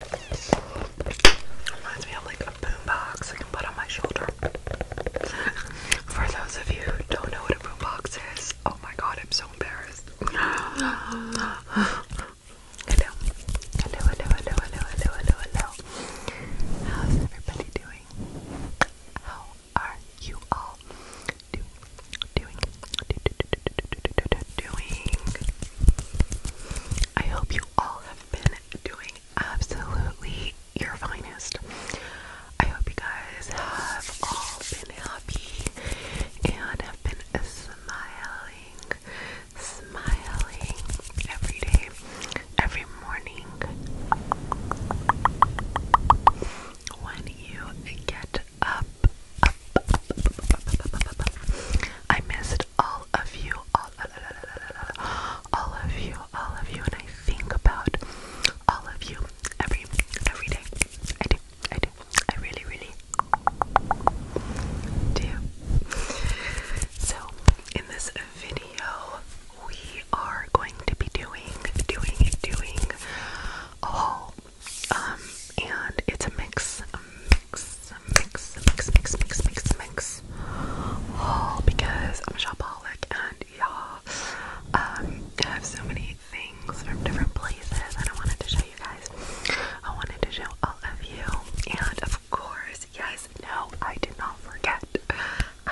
Reminds me of like a boombox I can put on my shoulder. For those of you who don't know what a boombox is, oh my god, I'm so embarrassed. Hello, hello, hello, hello, hello, hello, hello, hello. How's everybody doing? How are you all do, doing? Do, do, do, do, doing? I hope you all have been doing absolutely your finest. I hope you guys have all been happy and have been smiling, smiling every day, every morning. When you get up, up, up, up, up, up, up, up, up. I miss all of you, all, all of you, all of you, and I think about all of you every every day. I do, I do, I really, really do. So in this video, we are going to be doing, doing, doing a haul. Um, and it's a mix, um, mix, mix, mix, mix, mix, mix, mix. Oh, because I'm a shopaholic and yeah, um, I have so many things from different places and I wanted to show you guys. I wanted to show all of you. And of course, yes, no, I did not forget.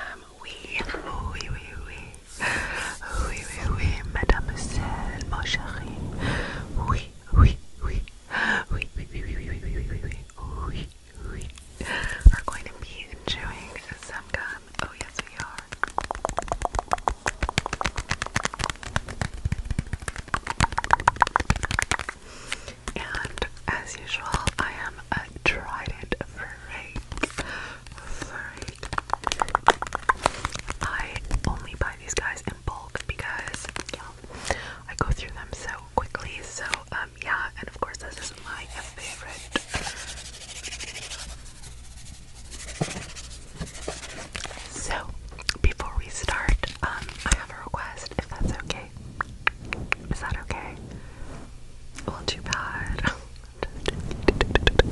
Um, we, oui, oui, oui. Oui, oui, oui, mademoiselle, mon chéri. Oui, oui, oui, we, we, we, we, we, we, we are going to be enjoying some gum. Oh, yes, we are. And as usual, I am a trident freak. Freak. I only buy these guys in bulk because, yeah, I go through them so quickly. So, um, yeah, and of course, this is my favorite. So, before we start, um, I have a request if that's okay. Is that okay? Well, too bad. I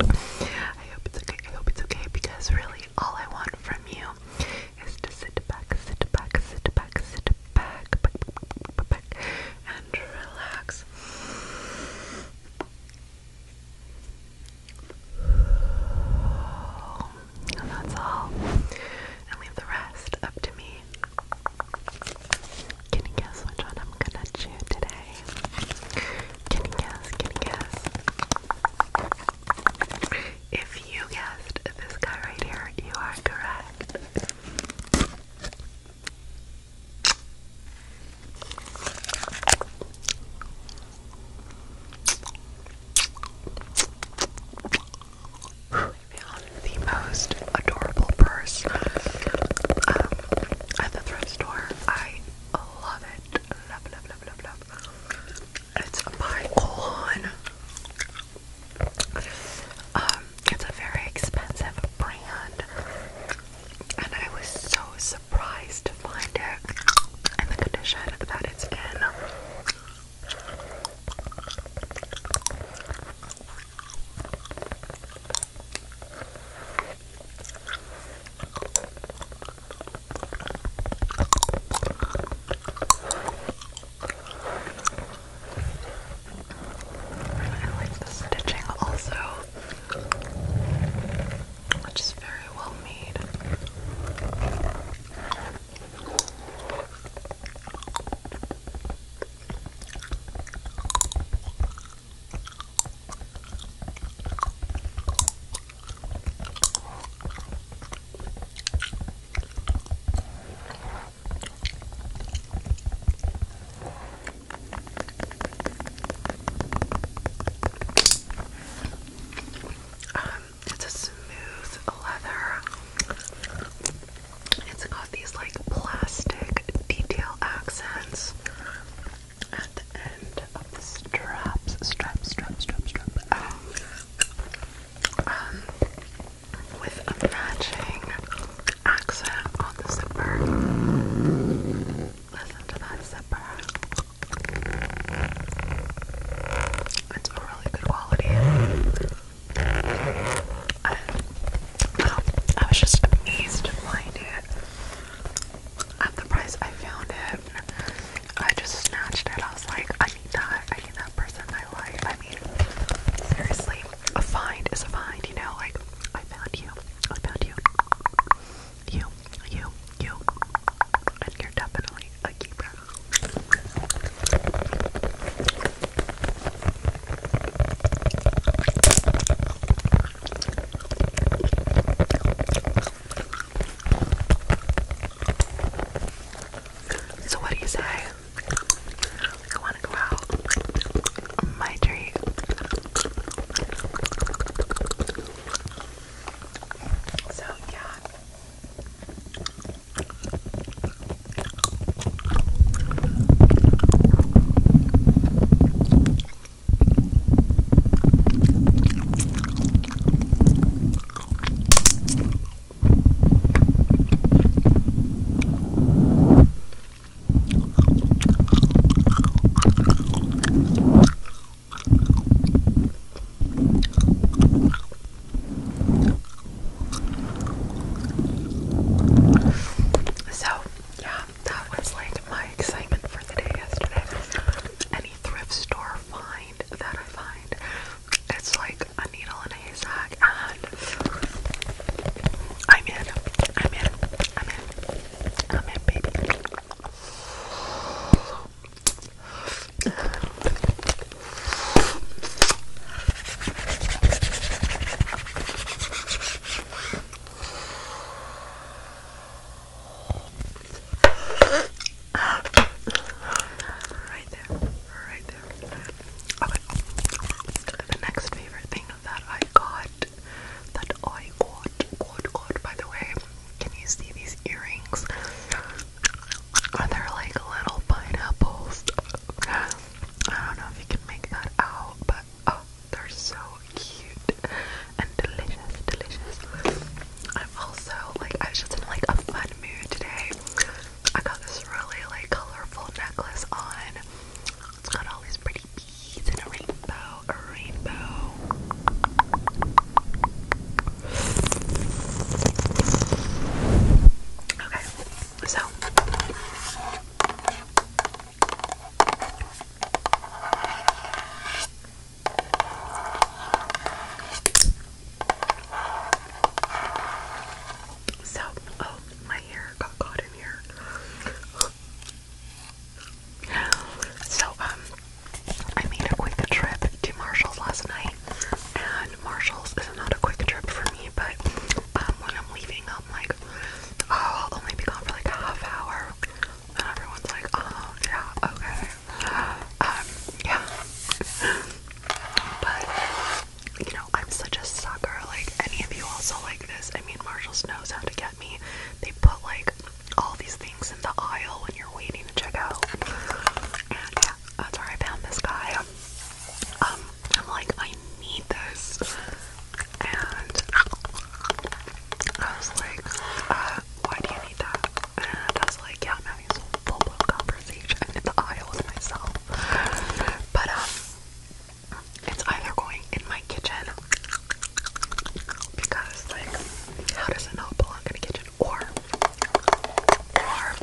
hope it's okay. I hope it's okay because really all I want from you is to sit back, sit back, sit back, sit back, back and relax. And that's all. And leave the rest up to me. Can you guess which one I'm gonna chew today? Can you guess? Can you guess? If you guessed this guy right here, you are correct. I the most adorable purse um, at the thrift store. I love it. Love, love, love, love, love. It's a Pycon. Um, it's a very expensive brand, and I was so surprised to find it and the condition that it's in. I like the stitching also, which is very well made. Um, it's a smooth leather. It's got these like plastic detail accents at the end of the straps. Strap, strap, strap, strap. Um, um with a matching accent on the zipper. Listen to that zipper. It's a really good quality. Um, I, was just amazed to find it. At the price I found it, I just snatched it. I was like, I need that. I need that person I mean, seriously, a find is a find, you know? Like, I found you. I found you. You, you, you. And you're definitely a keeper. So, what do you say? I want to go out. My treat. So, yeah. So, yeah, that was like my excitement for the day yesterday. Any thrift store find that I find, it's like a needle in a haystack, and I'm in, I'm in, I'm in, I'm in, baby. Right there, right there. Okay, the next favorite thing that I got, that I got, got, got, by the way, can you see these earrings? Are they like little pineapples? I don't know if you can make that out, but oh, they're so cute and delicious, delicious. I'm also like, I was just in like a fun mood today. I got this really like colorful necklace on. It's got all these pretty beads and a rainbow, a rainbow. Okay, so so, oh, my hair got caught in here. So, um, I made a quick trip to Marshall's last night, and Marshall's is not a quick trip for me, but um, when I'm leaving, I'm like, oh, I'll only be gone for like half hour, and everyone's like, oh, yeah, okay, um, yeah, but you know, I'm such a sucker. Like, any of you also like this? I mean, Marshalls knows how to get me. They put like all these things in the aisle when you're waiting to check out. And yeah, that's where I found this guy. Um, I'm like, I need this. And I was like, uh, why do you need that? And I was like, yeah, I'm having some full blown conversation conversation in the aisle with myself. But um, it's either going in my kitchen because like how does it not belong in the kitchen? Or or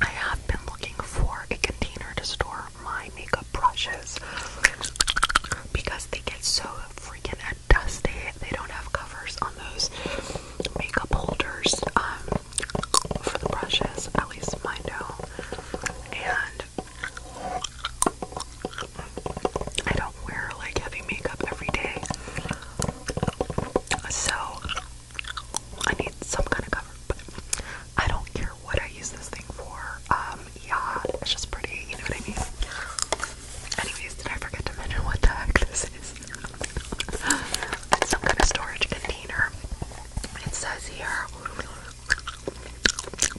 I have been looking for a container to store my makeup brushes because they get so freaking dusty. They don't have covers on those makeup holders. Um, for the brushes, at least mine do. And I don't wear like heavy makeup every day. So I need some kind of cover, but I don't care what I use this thing for. Um, yeah, it's just pretty, you know what I mean? Anyways, did I forget to mention what the heck this is? some kind of storage container. It says here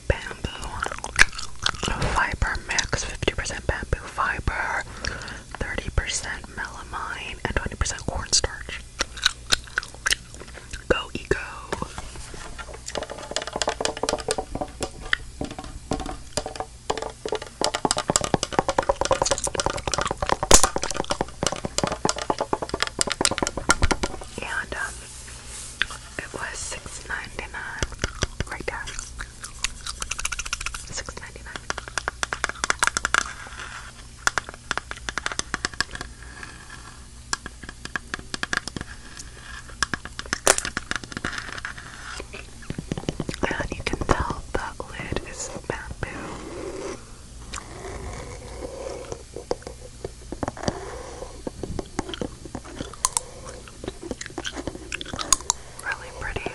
bamboo fiber mix 50% bamboo fiber, 30% melamine, and 20% cornstarch. Go Eco. And um, it was $6.99 right there. 6 And you can tell the lid is bamboo. Really pretty.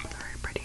Very pretty.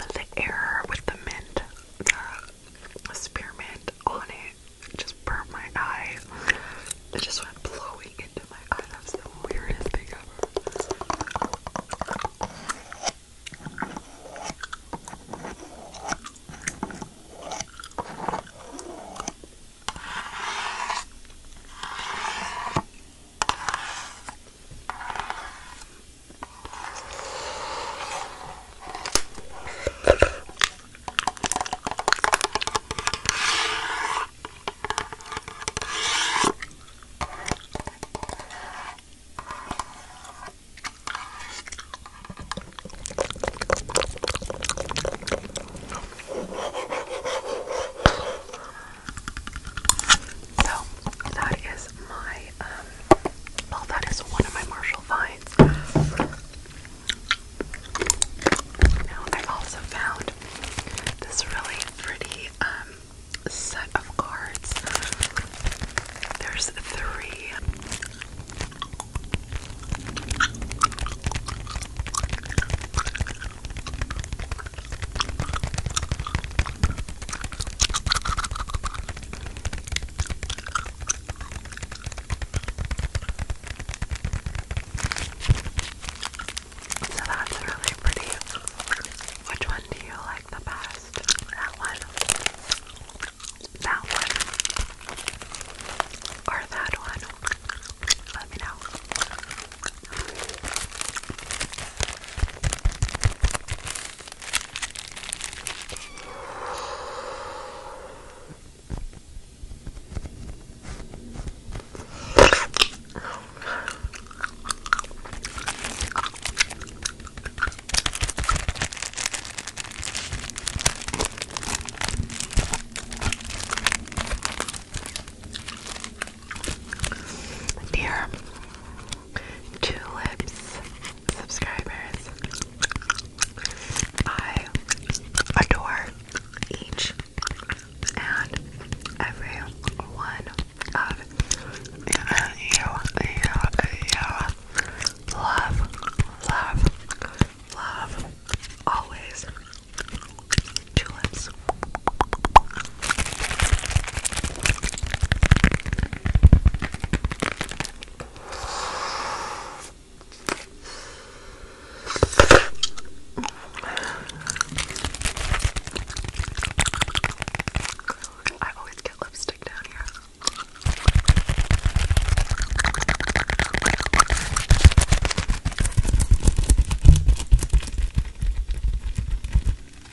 The error with the mint, spearmint on it, just burnt my eye. It just went blowing into my eyes. That's the weirdest thing ever. So that is my um, well, that is one of my Marshall finds. I also found this really pretty um, set of cards. There's three. So that's really pretty. Which one do you like the best? That one? That one? Or that one? Let me know. Dear tulips, subscribers. I adore each and every one of you. You, you, love, love, love, always tulips. I always get lipstick down here.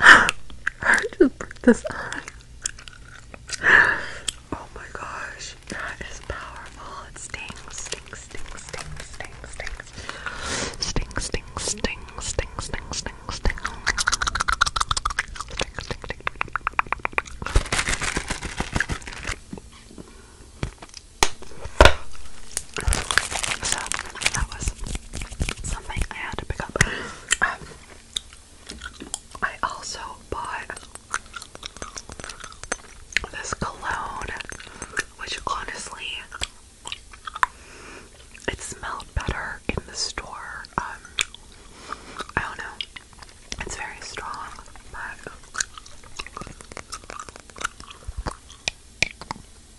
I just broke this eye. Oh my gosh, that is powerful. It stings, stings, stings, stings, stings, stings, stings, stings, stings, stings, stings, stings, stings. So that was something I had to pick up. Um, I also bought this cologne, which honestly, it smelled better in the store. Um, I don't know. It's very strong, but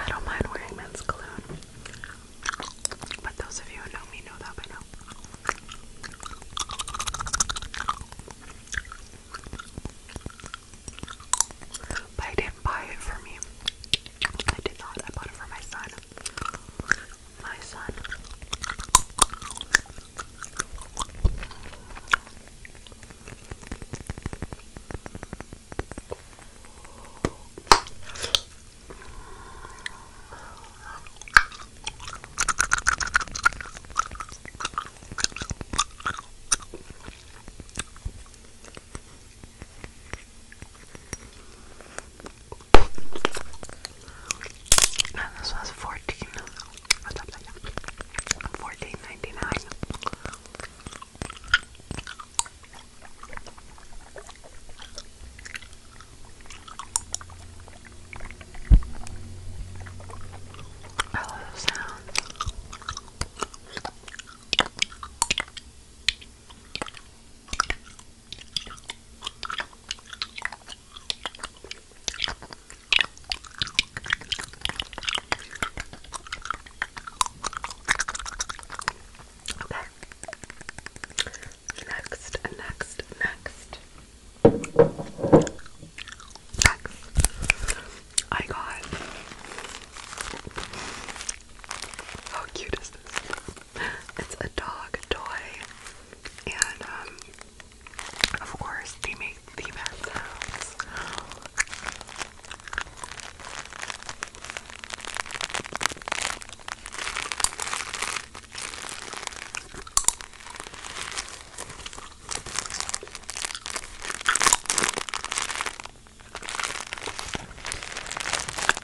I don't mind wearing men's cologne, but those of you who know me know that by now. I didn't buy it for me. I did not. I bought it for my son. My son. And this was fourteen. What's up? Fourteen ninety nine. I love those sounds. Okay. Next, next, next. Next. I got. How cute is this? It's a dog toy, and um, of course they make the best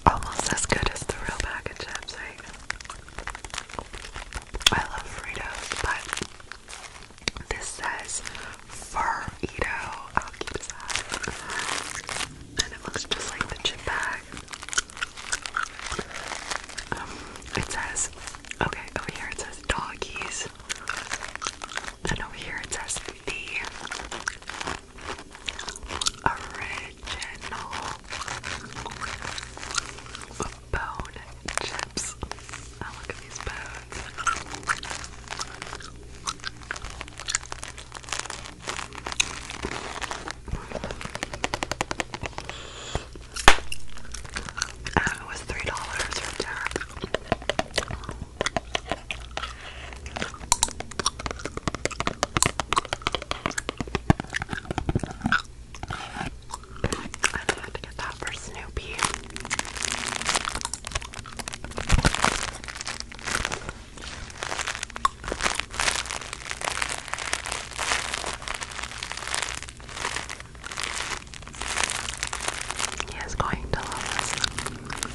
Almost as good as the real package, of I love Fritos, but this says fur I'll keep that. And it looks just like the chip bag. Um, it says, okay, over here it says doggies. And over here it says the original bone chips. Oh, look at these bones. And uh, it was three dollars for dinner. I had to get that for Snoopy. He is going to love this.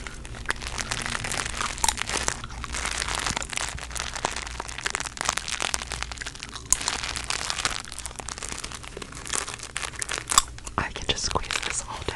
I can just squeeze this all day.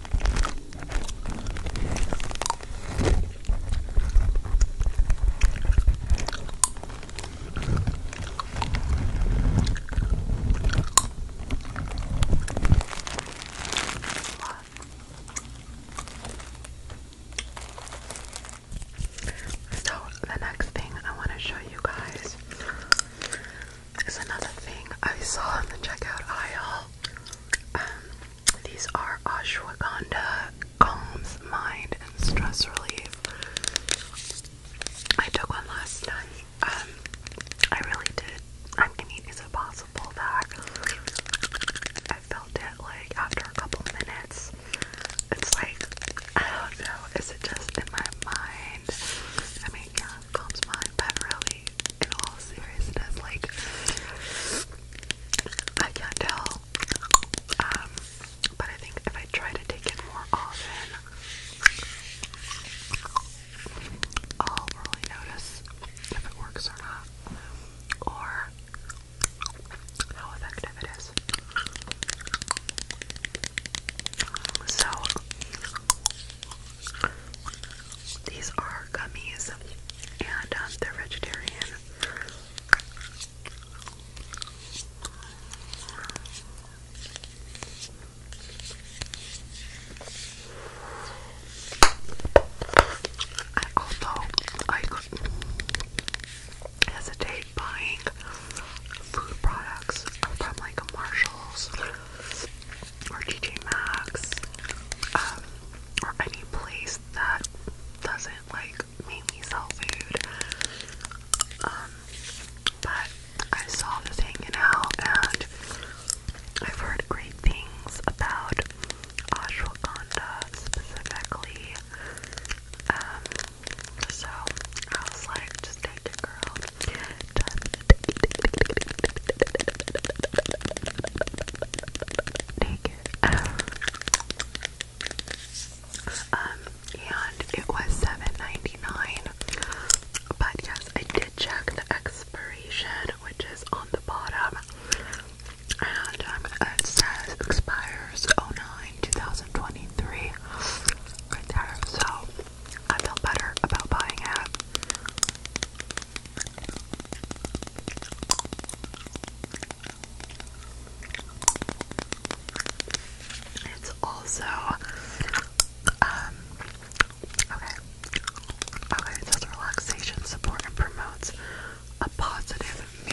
So the next thing I want to show you guys is another thing I saw in the checkout aisle. Um, these are ashwagandha calms mind and stress relief. I took one last night. Um, I really did. I am mean, is it possible that I felt it like after a couple minutes? It's like, I don't know, is it just in my mind? I mean, yeah, calms mind, but really, in all seriousness, like I can't tell. Um, but I think if I try to take it more often, I'll really notice if it works or not, or how effective it is. So these are gummies, and um, they're vegetarian. I also I hesitate buying food products from like Marshalls or TJ Maxx, um, or any place that doesn't like mainly sell food. Um, but I saw this hanging out, and I've heard great things about ashwagandha specifically. Um, so I was like, just take girl. Um, and it was $7.99. But yes, I did check the expiration, which is on the bottom. And um, it says expires 09 2023 right there. So I feel better about buying a hat. It's also um, okay. Okay, it says relaxation support and promotes a positive mood.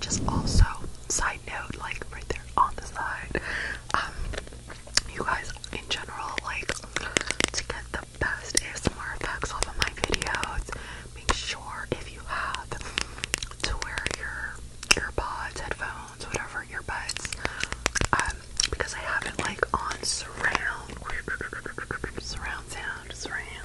just also side note like right there on the side um you guys in general like to get the best ASMR effects off of my videos make sure if you have to wear your earpods headphones whatever earbuds um because I have it like on surround surround sound surround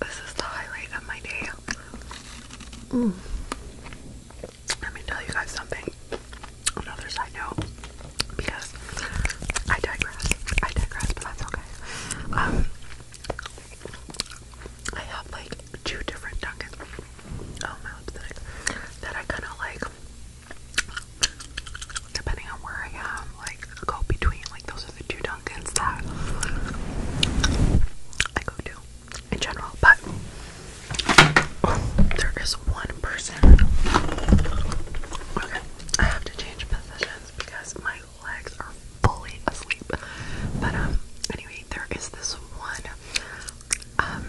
This is the highlight of my day. Mm. Let me tell you guys something. Another side note, because I digress. I digress, but that's okay. Um, I have like two different Dunkin'. Oh, that I kind of like depending on where I am like go between like those are the two Dunkins that I go to in general but there is one person okay I have to change positions because my legs are fully asleep but um anyway there is this one um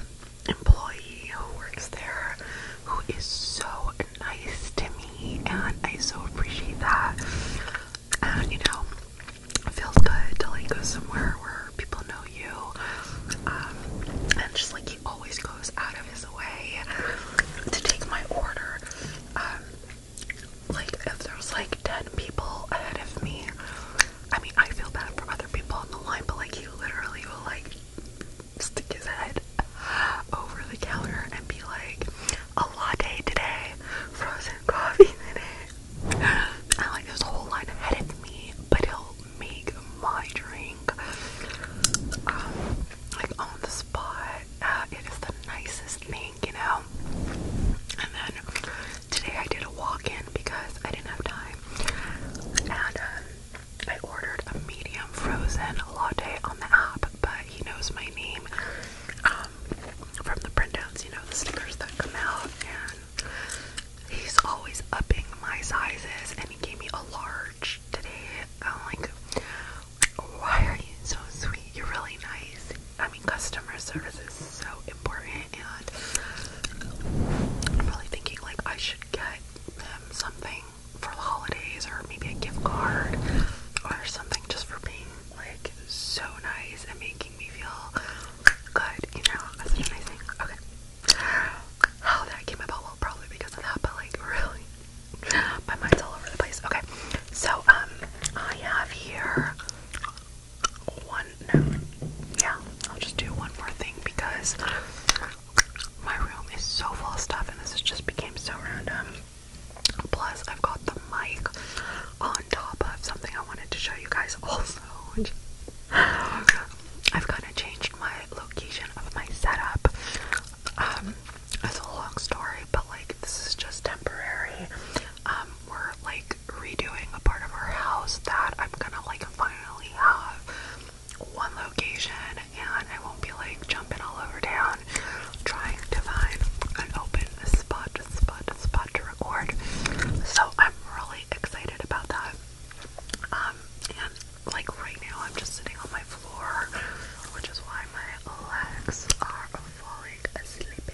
employee who works there who is so nice to me, and I so appreciate that. And you know, it feels good to like go somewhere where people know you, um, and just like he always goes out of his way to take my order. Um, like if there was like ten people ahead of me, I mean, I feel bad for other people on the line, but like, he literally will like stick his head over the counter and be like, a latte today, frozen coffee today. I like, this whole line ahead of me, but he'll make my drink um, like on the spot. Uh, it is the nicest thing, you know. And then Today I did a walk-in because I didn't have time. And um, I ordered a medium frozen latte on the app, but he knows my name um, from the printouts, you know, the stickers that come out. And he's always upping my sizes, and he gave me a large today. I'm like, why are you so sweet? You're really nice. I mean, customer service is so important, I'm probably thinking like I should get them something for the holidays or maybe a gift card or something just for being like so nice and making me feel good, you know, Okay. How that came about, well probably because of that, but like really my mind's all over the place. Okay. So um I have here one one. Yeah, I'll just do one more thing because my room is so full of stuff and this has just became so random. Plus, I've got the mic on top of something I wanted to show you guys also. I've kind of changed my location of my setup. Um, it's a long story, but like this is just temporary. Um, we're like redoing a part of our house that I'm gonna like finally have one location and I won't be like jumping all over town trying to find an open spot, spot, spot to record. So I'm really excited about that. Um, and like right now, I'm just sitting on my floor, which is why my legs are falling asleep.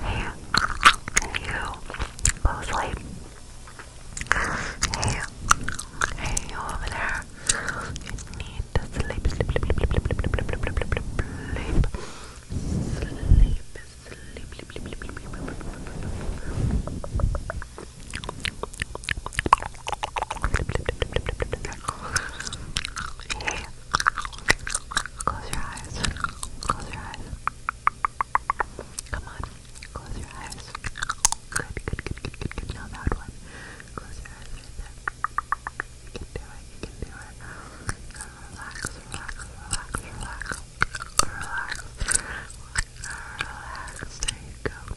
Hey, you. Closely. Hey, hey, you over there. You need to sleep, sleep, sleep, sleep, sleep, sleep, sleep, sleep, sleep, sleep, sleep. Sleep, sleep, sleep, sleep, sleep, sleep, sleep. Hey, Close your eyes. Close your eyes. Come on. Close your eyes. Good, good, good, good, good, good. No, that one. Close your eyes right there. You can do it. You can do it. Relax, relax, relax, relax. Relax. Relax. There you go.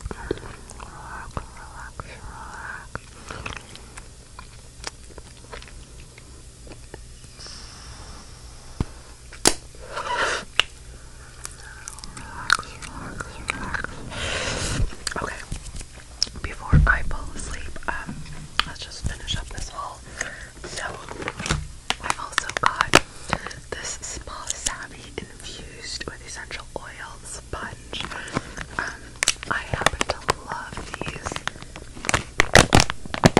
relax, relax, relax. Okay. Before I fall asleep, um, let's just finish up this haul. So I also got this small savvy infused with essential oils, sponge. Um, I happen to love these.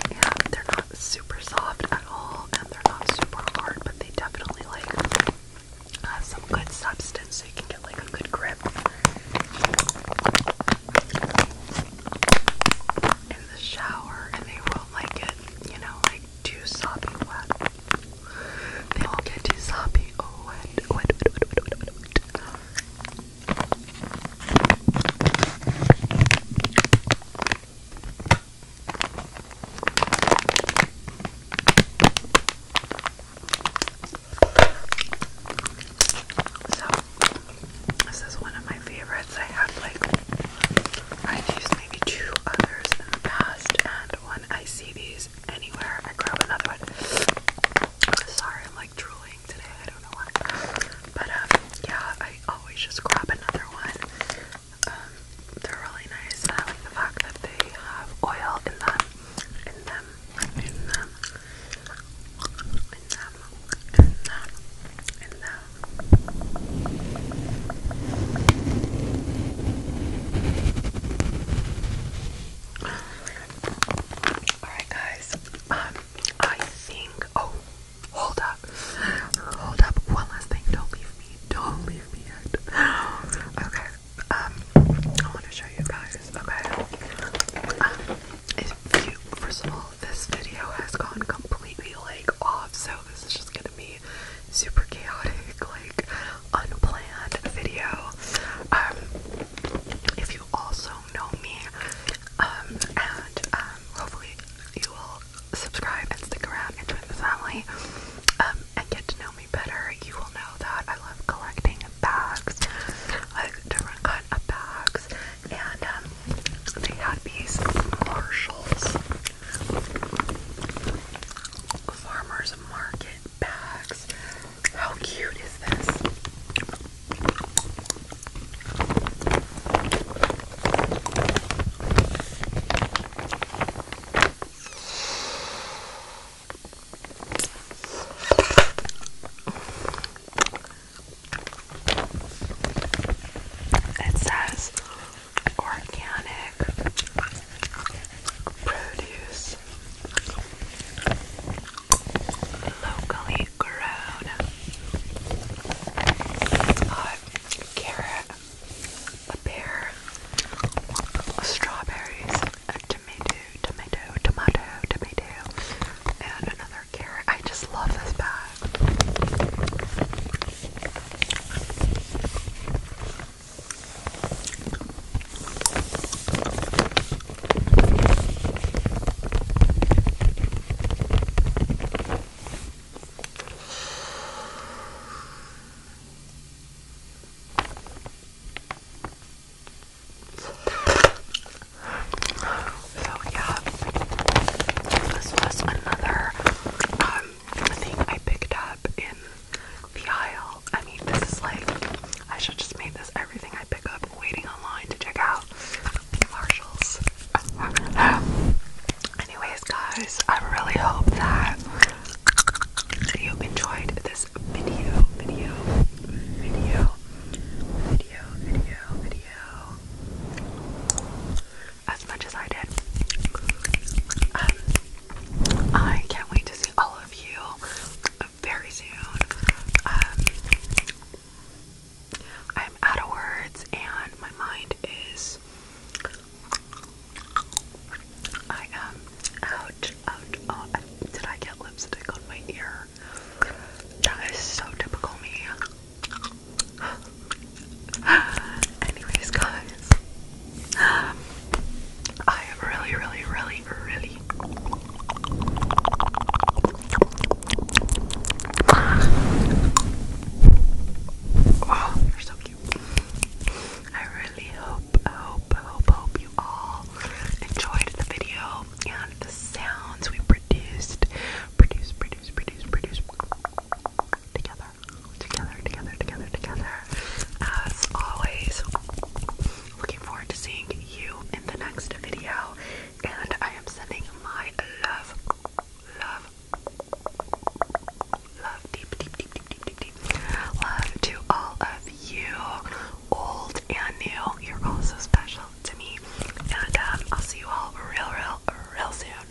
Yeah, they're not super soft at all, and they're not super hard, but they definitely like some good substance, so you can get like a good grip. In the shower, and they won't like it, you know, like too soppy wet. They'll get you sloppy. Oh, wet, wet, wet, wet, wet, wet, wet. So, this is one of my favorites. I have like, I've used maybe two others in the past, and when I see these, anywhere. I grab another one. Sorry, I'm like drooling today. I don't know why. But um, yeah, I always just grab another one. Um, they're really nice, I like the fact that they have oil in them, in them, in them, in them, in them. Alright guys, um, I think, oh, hold up, hold up, one last thing, don't leave me, don't leave me yet. Okay, um, I want to show you guys, okay, um, if first of all, this video has gone completely, like, off, so this is just gonna be super chaotic, like unplanned video. Um, if you also know me, um, and um, hopefully you will subscribe and stick around and join the family, and get to know me better, you will know that I love collecting bags, like different kind of bags, and they had these Marshalls. Farmers Market how cute is this? It says organic produce locally grown uh, carrot, a pear, strawberries, a tomato, tomato, tomato, tomato, and another carrot. I just love this bag. So yeah, this was another um thing I picked up in the aisle. I mean, this is like, I should just make this everything I pick up waiting online to check out Marshalls. Anyways, guys, I really hope that you enjoyed this video, video, video, video, video, video, as much as I did. Um, I can't wait to see all of of you very soon. Um, I'm out of words, and my mind is. I am out, out. Oh, did I get lipstick on my ear? That is so typical me. Anyways, guys, I really, really, really, really Oh, they're so cute. I really hope, hope, hope, hope you all enjoyed the video and the sounds we produced. Produce, produce, produce, produce. Together, together, together, together, together. As always, looking forward to seeing you in the next video. And I am sending my love, love, love, deep, deep, deep, deep, deep, deep, love to all of you, old and new. You're all so special to me. And um, I'll see you all real, real, real soon.